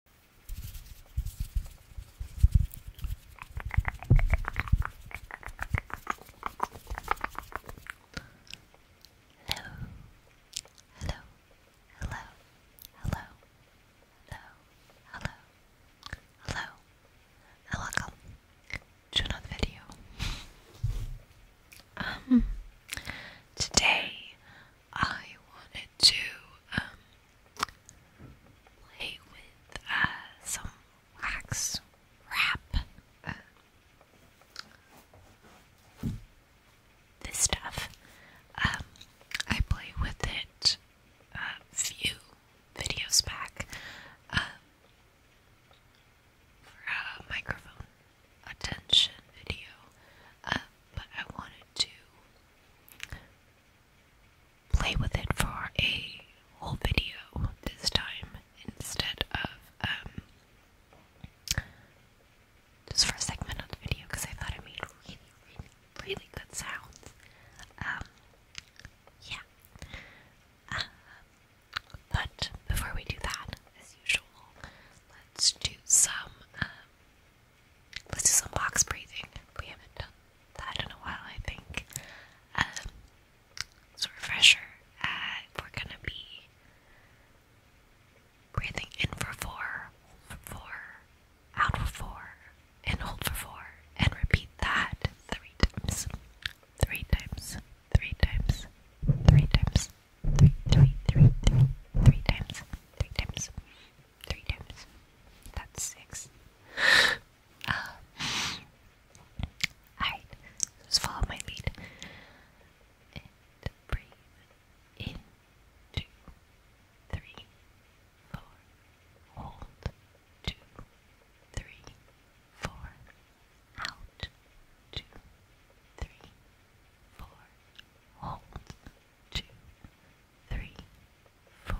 Hello, hello, hello, hello, hello, hello, hello, welcome to another video. Um, today I wanted to um, play with uh, some wax wrap. Uh, this stuff. Um, I played with it a few videos back um, for a microphone attention video, uh, but I wanted to play with it for a whole video this time instead of um, just for a segment of the video because I thought it made really, really, really good sounds. Um, yeah. Uh, but before we do that, as usual, let's do some um, Let's do some box breathing. We haven't done that in a while, I think. Um, so refresher, we're gonna be breathing in for four, hold for four, out for four, and hold for four, and repeat that three times, three times, three times, three times, three, three, three, three, three times, three times three times. That's six. Um, Alright, just follow my lead. And breathe in. Two, three, four. Hold. Two, three, four. Out. Two, three, four. Hold two, three, four,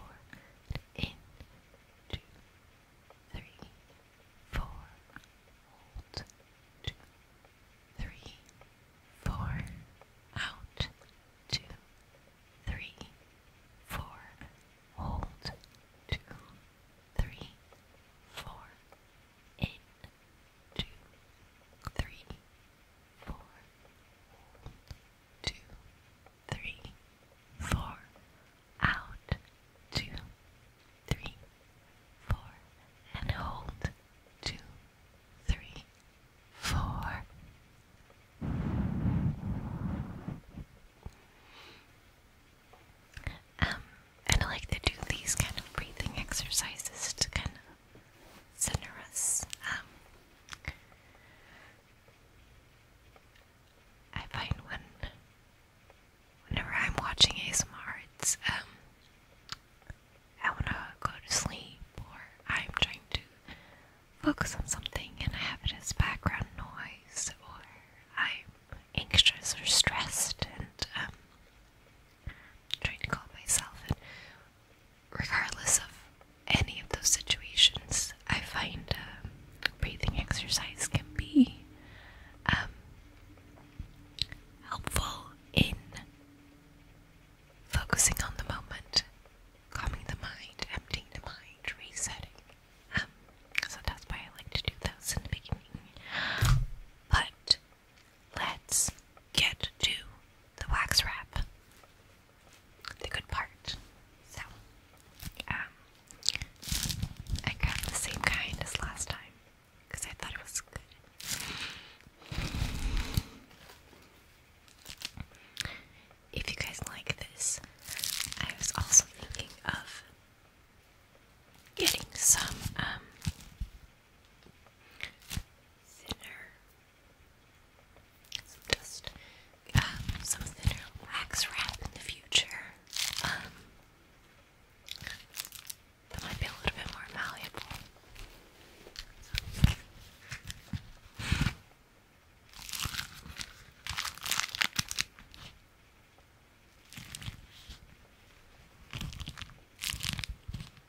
in, two, three, four, hold, two, three, four, out, two, three, four, hold, two, three, four, in, two, three, four, two, three, four, out, two, three, four, and hold, two, three, four. Um, I like to do these kind of breathing exercises to kind of sonorous. Um, I find when whenever I'm watching ASMR, it's um, I want to go to sleep or I'm trying to focus on something and I have it as background noise or I'm anxious or stressed and um, trying to calm myself and regardless of any of those situations, I find um, breathing exercise can be um, helpful in focusing on the moment, calming the mind, emptying the mind, resetting. Um, so that's why I like to do those in the beginning. But let's get to the wax wrap the good part. So, um, I got the same kind as last time because I thought it was good. If you guys like this, I was also thinking of getting some um, thinner just um, some thinner wax wrap in the future. Um, that might be a little bit more malleable.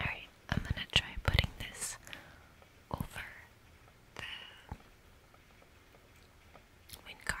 Alright, I'm gonna try putting this over the wind card.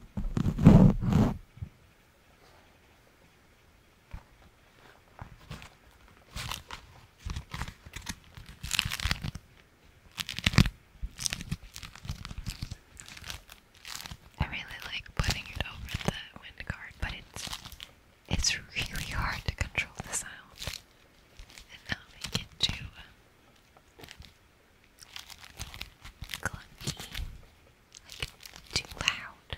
I really like putting it over the wind guard, but it's it's really hard to control the sound and not make it too um, clunky, like too loud.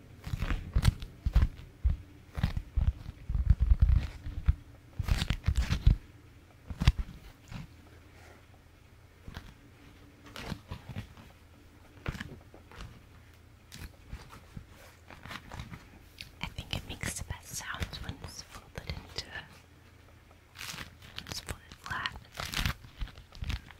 I think it makes the best sounds when it's folded into. It's folded flat.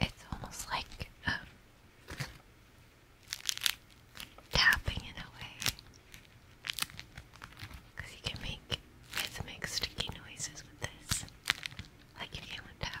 It's almost like um, tapping in a way. Because you can make sticky noises with this. Like if you were tapping.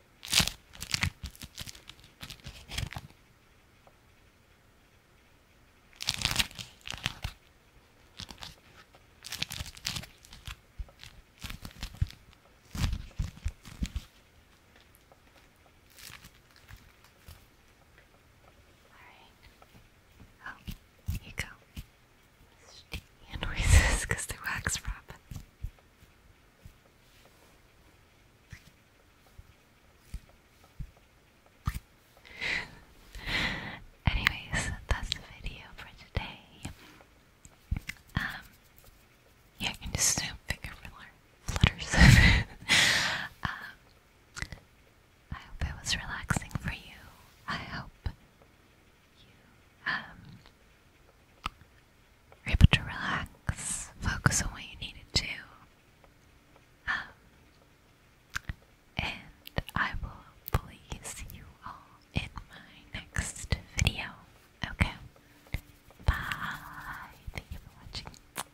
All right. Oh, here you go. Sticky noises the wax wrap. Anyways, that's the video for today. Um, yeah, I can just do finger flutters. Um, I hope it was relaxing for you. I hope you um, you're able to relax, focus on what you needed to. Um, and I will hopefully see you all in my next video. Okay? Bye. Thank you for watching.